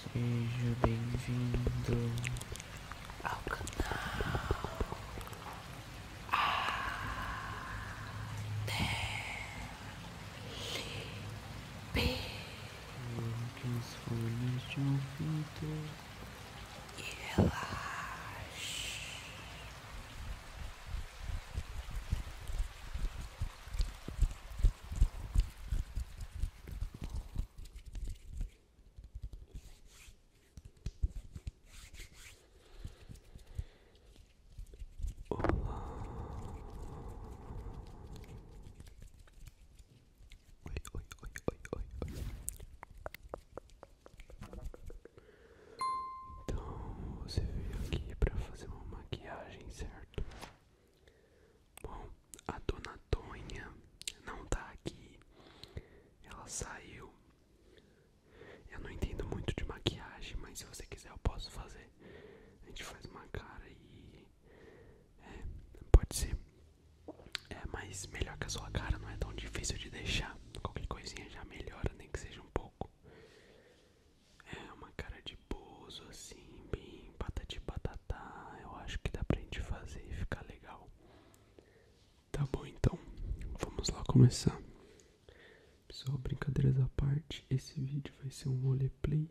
Seja bem-vindo ao canal Adelipe. Que os fones de ouvido e relaxe. Olá. Oi, oi, oi, oi, oi, oi. Então, você veio aqui para fazer uma maquiagem, certo? Bom, a dona Tonha não tá aqui. Ela saiu. Eu não entendo muito de maquiagem, mas se você quiser eu posso fazer. A gente faz uma cara e. É, pode ser. É, mas melhor que a sua cara não é tão difícil de deixar. Qualquer coisinha já melhora, nem que seja um pouco. É uma cara de bozo assim, bem patati batata Eu acho que dá pra gente fazer e ficar legal. Tá bom, então vamos lá começar. Pessoal, brincadeiras à parte, esse vídeo vai ser um roleplay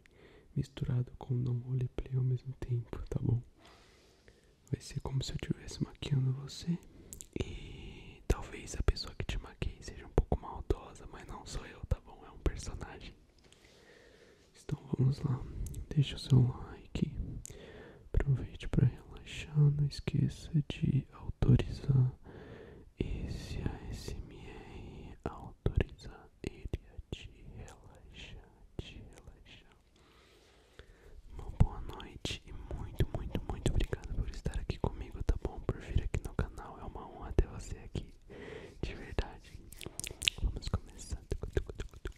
misturado com não roleplay ao mesmo tempo, tá bom? Vai ser como se eu estivesse maquiando você e talvez a pessoa que te maquei seja um pouco maldosa, mas não sou eu, tá bom? É um personagem. Então vamos lá, deixa o seu like, aproveite para relaxar, não esqueça de autorizar esse ASMR, autorizar ele a te relaxar, te relaxar. Uma boa noite e muito, muito, muito obrigado por estar aqui comigo, tá bom? Por vir aqui no canal, é uma honra ter você aqui, de verdade. Vamos começar. Tuc,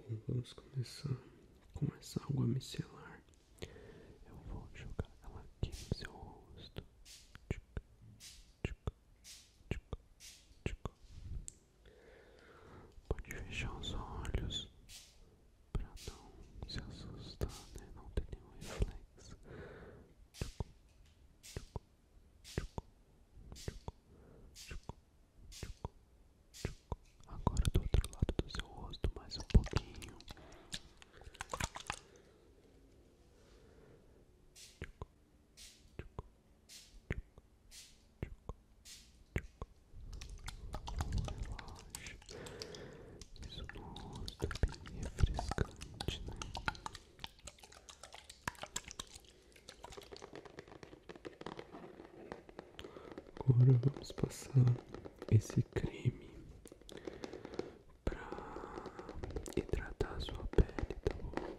Bom, vamos começar com essa água micelar. Eu vou jogar ela aqui no seu rosto. Pode fechar os olhos para não se assustar, né? Não ter nenhum reflexo. Agora do outro lado do seu rosto mais um pouquinho. Tchuc, tchuc, isso nossa, é bem refrescante, né? Agora vamos passar esse creme pra hidratar a sua pele, tá bom?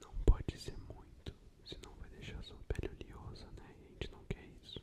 Não pode ser muito, senão vai deixar sua pele oleosa, né? a gente não quer isso.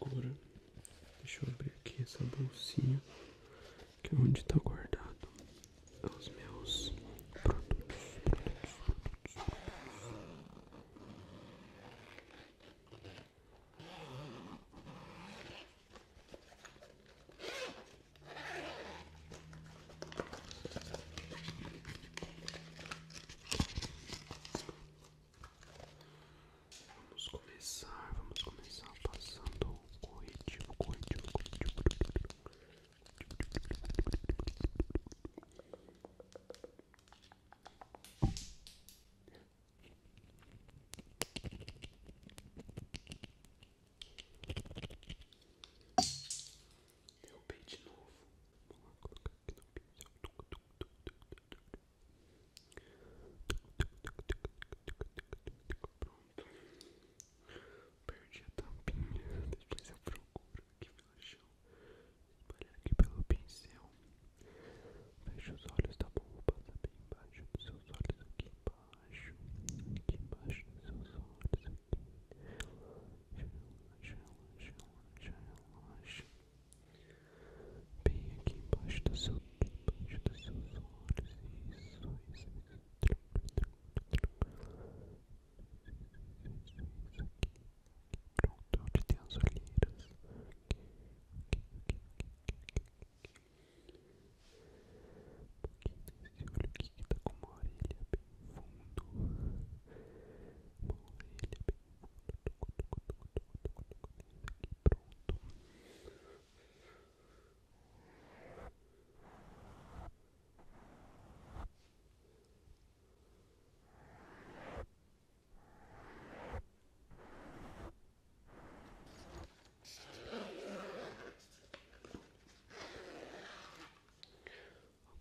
Agora, deixa eu abrir aqui essa bolsinha, que é onde está guardado os meus produtos. Vamos começar, vamos começar passando o corretivo, corretivo, corretivo. Derrubei de novo. Vamos colocar aqui no pincel. Pronto. Perdi a tampinha. Depois eu procuro aqui pelo chão. Espalhar aqui pelo pincel. Fecha os olhos, tá bom? Vou passar bem embaixo dos seus olhos. Aqui embaixo. Aqui embaixo dos seus olhos. Aqui. Relaxa, relaxa, relaxa, relaxa. Bem aqui embaixo do seu, embaixo dos seus olhos. Isso, isso, isso. Isso, isso aqui. Pronto, onde tem as olheiras. Aqui, aqui, aqui, aqui, aqui, aqui. Um pouquinho nesse olho aqui que tá com uma orelha bem fundo. Uma orelha pronto.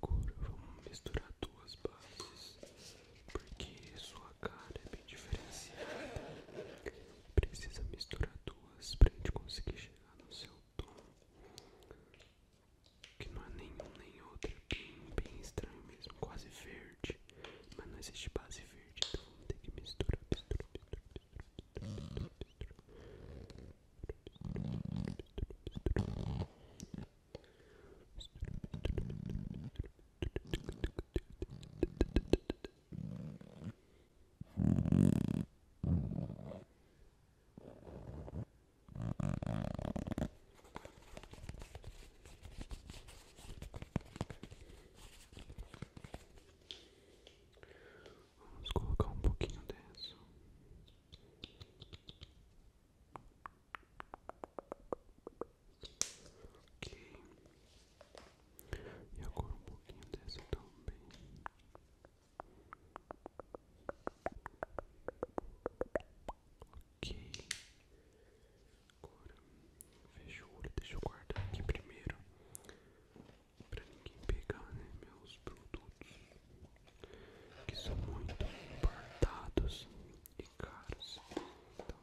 Agora vamos misturar duas bases, porque sua sua cara é bem diferenciada. Precisa misturar duas pra gente conseguir chegar no seu tom. Que não é nenhum nem outro, é bem, bem estranho mesmo, quase verde. Mas não existe base verde, então vamos que misturar, misturar, misturar. Vamos colocar um pouquinho dessa. Ok. E agora um pouquinho desse também. Ok. Agora fecha o olho, deixa eu guardar aqui primeiro. Pra ninguém pegar, né? Meus produtos que são muito importados e caros. Então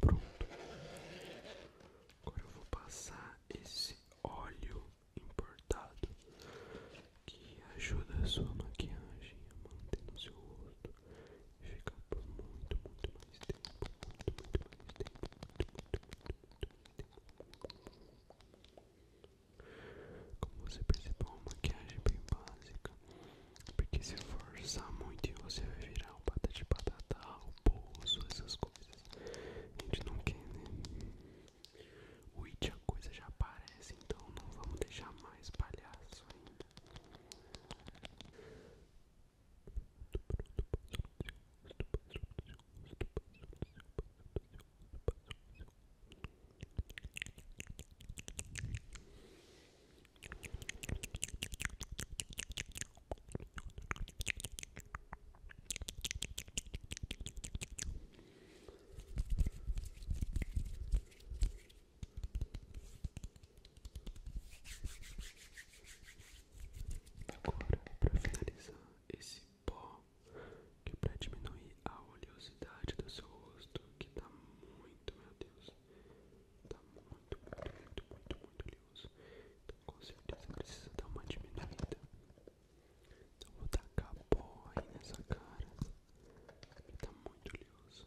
Pronto. Agora eu vou passar esse óleo importado que ajuda a sua maquiagem a manter no seu rosto e ficar por muito, muito mais tempo. Muito, muito mais tempo. Muito, muito, muito, muito, porque se forçar muito você vai virar o de patatá, o bolso, essas coisas. A gente não quer, né? O it a coisa já aparece, então não vamos deixar mais palhaço ainda. Agora, para finalizar esse pó, que é para diminuir a oleosidade do seu rosto, que dá tá muito, meu Deus tá muito, muito, muito, muito oleoso. Então com certeza precisa dar uma diminuída. Então vou tacar pó aí nessa cara. tá muito oleoso.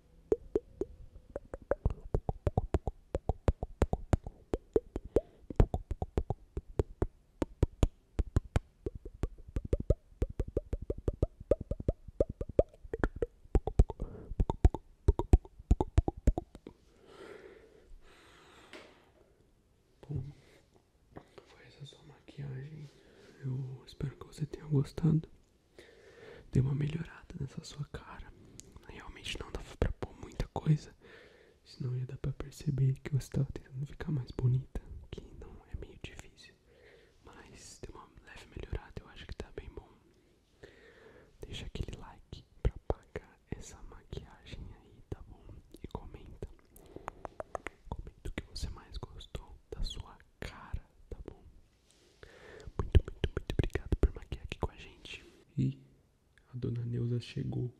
Bom, foi essa sua maquiagem. Eu espero que você tenha gostado deu uma melhorada nessa sua cara. Realmente não dava pra pôr muita coisa. Senão ia dar pra perceber que você tava tentando ficar mais bonita. Que não é meio difícil. Mas deu uma leve melhorada, eu acho que tá bem bom. Deixa aquele like pra pagar essa maquiagem aí, tá bom? E comenta. Comenta o que você mais gostou da sua cara, tá bom? Muito, muito, muito obrigado por maquiar aqui com a gente. E a dona Neuza chegou.